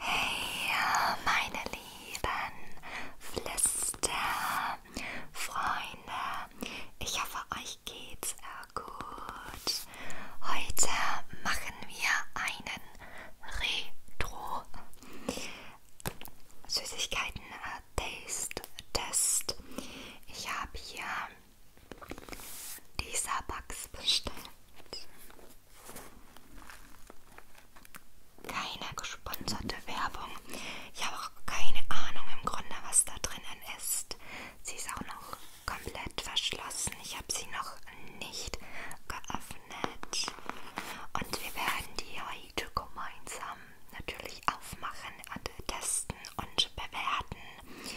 Hey, meine lieben Flüster, Freunde, ich hoffe, euch geht's äh, gut. Heute machen wir einen Retro. Süßigkeiten äh, Taste Test. Ich habe hier dieser Bugs bestellt. Keine gesponserte Werbung. Ich habe auch keine Ahnung im Grunde, was da drinnen ist. Sie ist auch noch komplett verschlossen. Ich habe sie noch nicht geöffnet geöffnet und wir werden die heute gemeinsam natürlich aufmachen und testen und bewerten.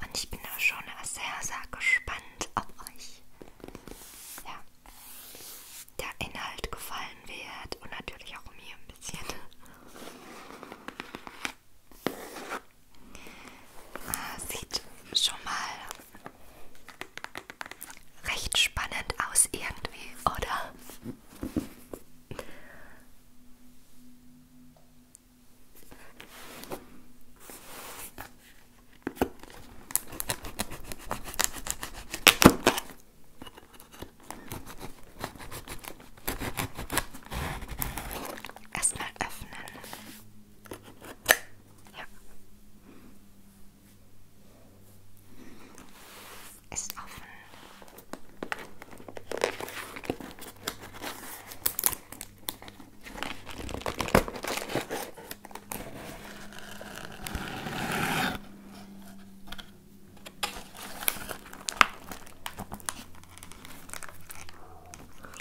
Und ich bin auch schon sehr, sehr gespannt, ob euch ja, der Inhalt gefallen wird und natürlich auch mir ein bisschen. Ah, sieht schon mal Recht spannend aus irgendwie, oder? Erstmal öffnen. Ja. Ist offen.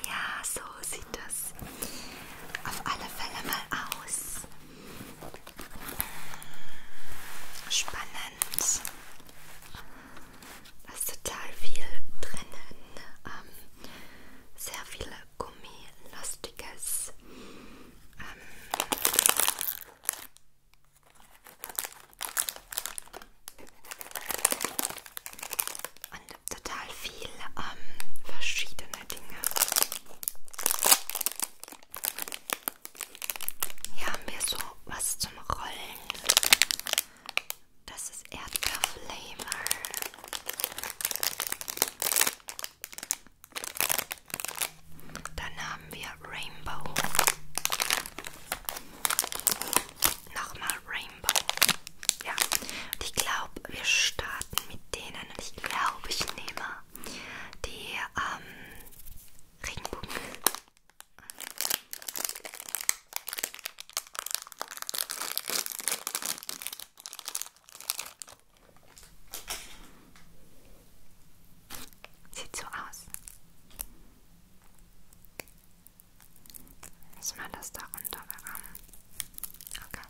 Ja, so sieht das auf alle Fälle mal aus. Spannend. Da ist total viel drinnen. Ähm, sehr viele Gummilastiges. Ähm, und total viel ähm, verschiedene Dinge. Hier haben wir so was zum Rollen. Das ist Erdbeerflavor. Dann haben wir Rainbow. Nochmal Rainbow. Ja, und ich glaube, wir starten mit denen schön und ich glaube, ich nehme die ähm, Regenbogen. Sieht so aus. Muss man das da runter bekommen? Ähm, okay.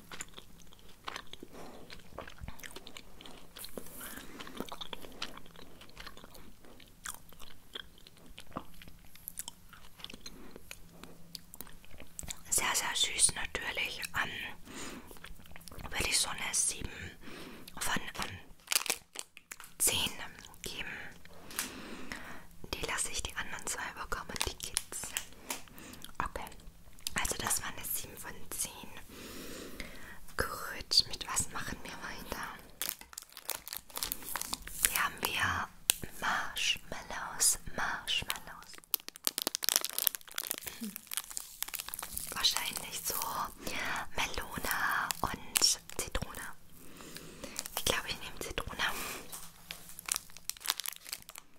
Sehr, sehr süß natürlich. Ähm, würde ich so eine 7 von ähm, 10 geben. Die lasse ich die anderen zwei bekommen, die Kids. Okay. Also das war eine 7 von 10. Gut, mit was machen wir weiter? Hier haben wir Marshmallows, Marshmallows. Hm. Wahrscheinlich so Melone und Zitrone. Ich glaube, ich nehme Zitrone.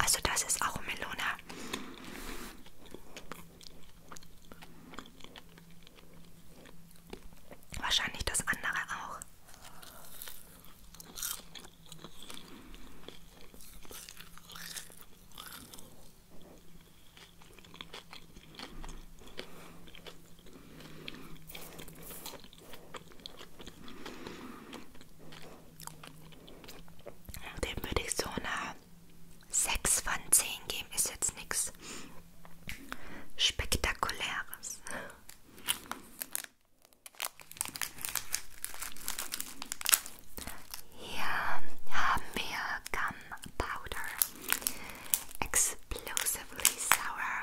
Also das ist auch Melona. Wahrscheinlich das andere auch. Dem würde ich so eine 6 von 10 geben. Ist jetzt nichts Spektakuläres. Hier haben wir Gunpowder. Explosively sour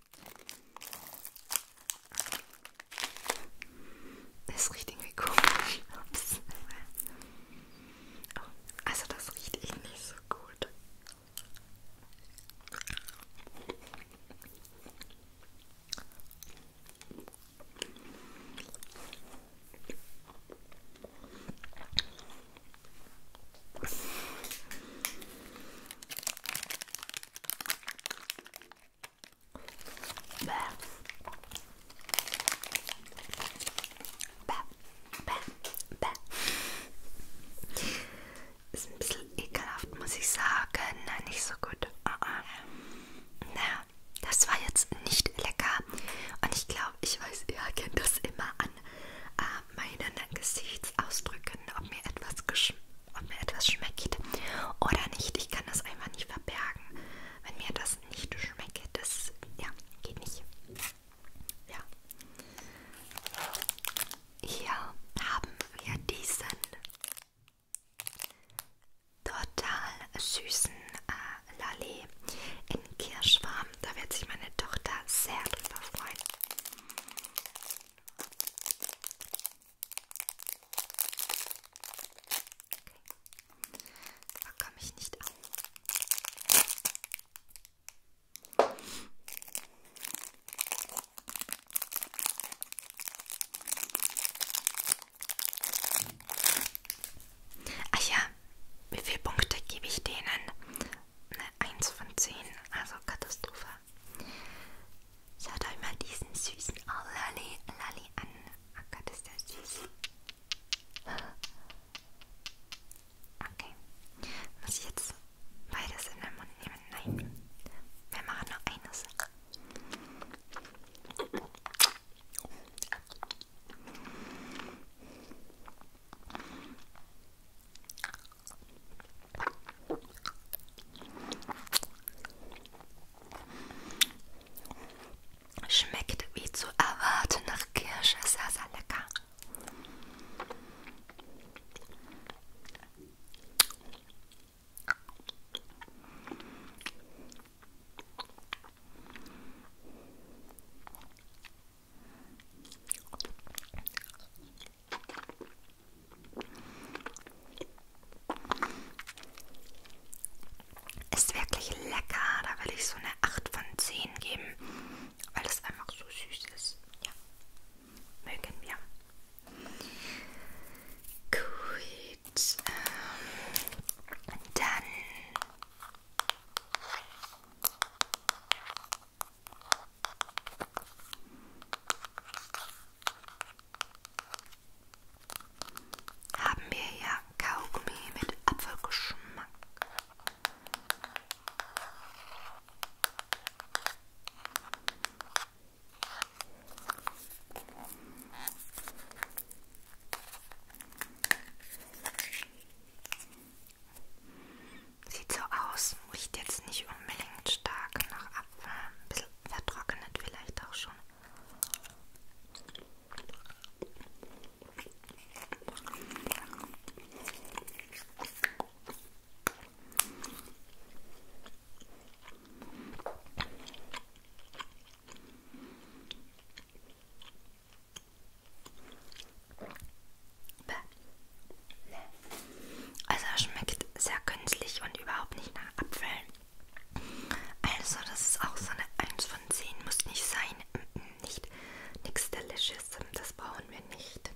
Das riecht irgendwie komisch. Ups. Oh, also das riecht eh nicht so gut. Bäh. Bäh. Bäh. Bäh. Ist ein bisschen ekelhaft, muss ich sagen. Nein, nicht so gut. Uh ah, -uh. Ah. Naja, das war jetzt nicht lecker. Und ich glaube, ich weiß, ihr kennt das immer an äh, meinen Gesichtsausdrücken, ob mir etwas geschmeckt ob mir etwas schmeckt oder nicht. Ich kann das einfach nicht verbergen. Wenn mir das nicht schmeckt, das ja, geht nicht. Ja. Hier haben wir diesen total süßen äh, Lalé in Kirschwarm. Da wird sich meine Tochter sehr drüber freuen. Da komme ich nicht an. Ach ja, wie viele Punkte gebe ich denen? Eine 1 von 10, also Katastrophe. Schaut euch mal diesen süßen oh, Lolli, Lolli an. Oh Gott, ist der süß. Okay. Muss ich jetzt beides in den Mund nehmen? Nein. Wir machen nur eine Sache. Schmeckt wie zu erwarten nach Kirsche, sehr, sehr lecker. Ist wirklich lecker. Da will ich so eine 8 von 10 geben, weil es einfach so süß ist. Ja, mögen wir. Gut. Ähm, dann haben wir hier Kaugummi mit Apfelgeschmack. Sieht so aus, riecht jetzt nicht unbedingt stark nach Apfel, ein bisschen vertrocknet vielleicht auch schon. Also er schmeckt sehr künstlich und überhaupt nicht nach Apfel. Also das ist auch so eine 1 von 10. Muss nicht sein. Nicht. Nix Delicious. Das brauchen wir nicht.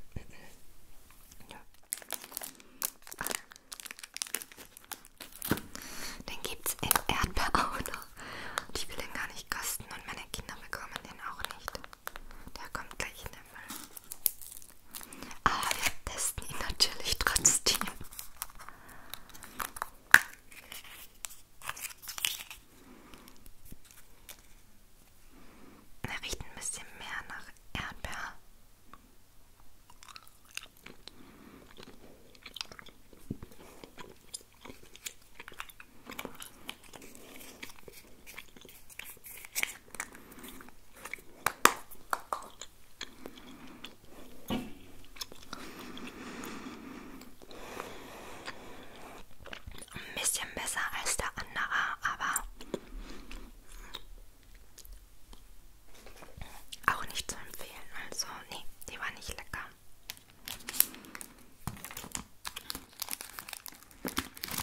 Den gibt es in Erdbeer auch noch. Und ich will den gar nicht kosten und meine Kinder bekommen den auch nicht. Der kommt gleich in den Müll. Aber ah, wir testen ihn natürlich trotzdem. Er riecht ein bisschen mehr nach Erdbeer. Ein bisschen besser als der andere, aber auch nicht zu empfehlen. Also, nee, die war nicht lecker.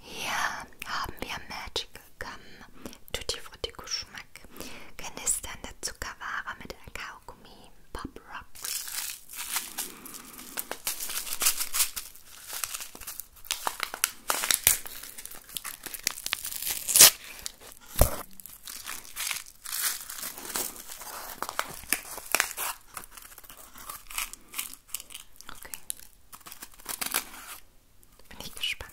Hier haben wir Magical Gum Tutti Frutti Geschmack. Knisternde Zuckerware mit Kakao. Kaugummi Pop Rocks. Okay. Bin ich gespannt.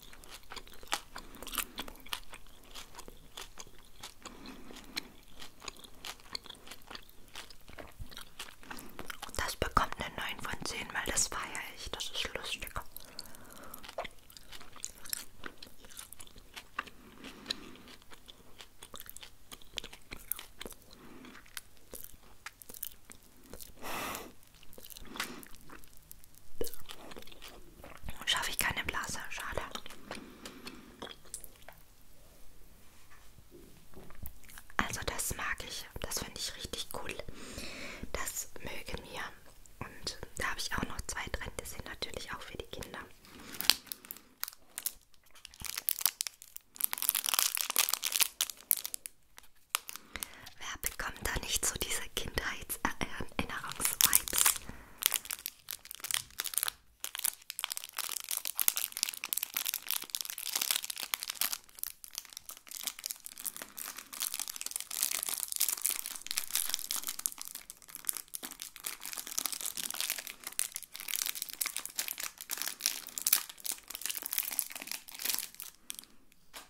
Das bekommt eine 9 von 10, weil das feiere ich. Das ist lustig. Schaffe ich keine Blase, schade. Also das mag ich, das finde ich richtig cool. Das mögen mir. Und da habe ich auch noch zwei drin, die sind natürlich auch für die Kinder. Wer bekommt da nicht so diese Kindheitserinnerungsvibes?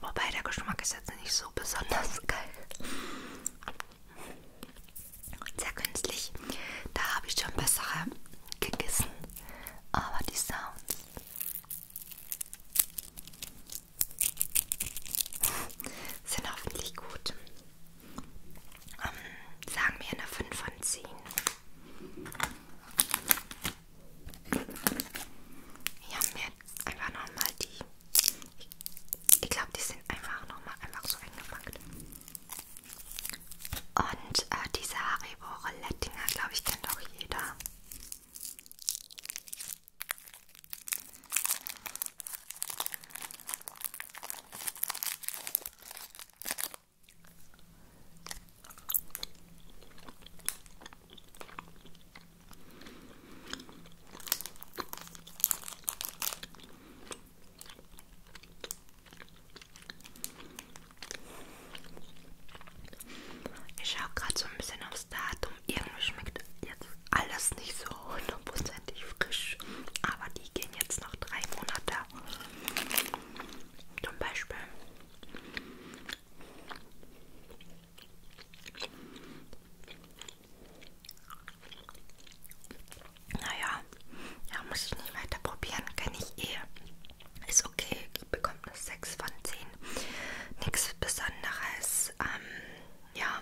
Wobei der Geschmack ist jetzt nicht so besonders geil. Sehr künstlich. Da habe ich schon bessere gegessen aber die Sounds. Sind hoffentlich gut. Um, ähm, sagen wir eine 5 von 10. Hier haben wir einfach nochmal die. Ich, ich glaube, die sind einfach nochmal einfach so eingepackt. Und äh, diese Haribo Roulette-Dinger, glaube ich, kennt auch jeder. Ich schaue gerade so ein bisschen aufs Datum. Irgendwie schmeckt jetzt alles nicht so hundertprozentig frisch. Aber die gehen jetzt noch drei Monate. Zum Beispiel. Naja, ja, muss ich nicht weiter probieren. Kenne ich eh. Ist okay, die bekommt eine 6 von 10. Nichts Besonderes. Ähm, ja,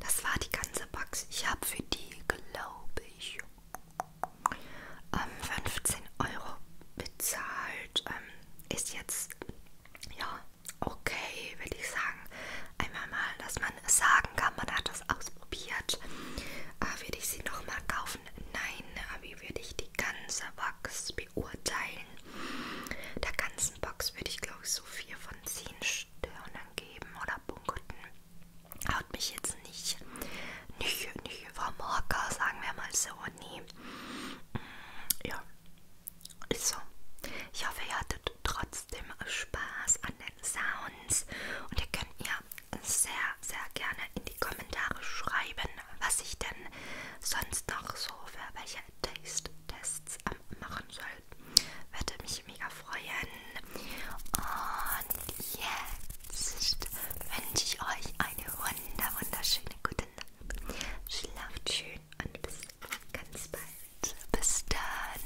das war die ganze Box. Ich habe für die, glaube ich, ähm, 15 Euro bezahlt. Ähm, ist jetzt, ja, okay, würde ich sagen. Einmal mal, dass man sagen kann, man hat das das ausprobiert. Äh, würde ich sie nochmal kaufen? Nein, aber äh, wie würde ich die ganze Box beurteilen? Der ganzen Box würde ich glaube ich so 4 von 10 Sternen geben oder Punkten. Haut mich jetzt nicht, nicht, nicht vom Hocker, sagen wir mal so, nee. Mm, ja, ist so. Ich hoffe, ihr hattet trotzdem Spaß an den Sounds und ihr könnt mir sehr, sehr gerne in die Kommentare schreiben, was ich denn sonst noch so für welche Taste-Tests machen soll. Würde mich mega freuen. Und jetzt wünsche ich euch eine wunder, wunderschöne gute Nacht. Schlaft schön und bis ganz bald. Bis dann.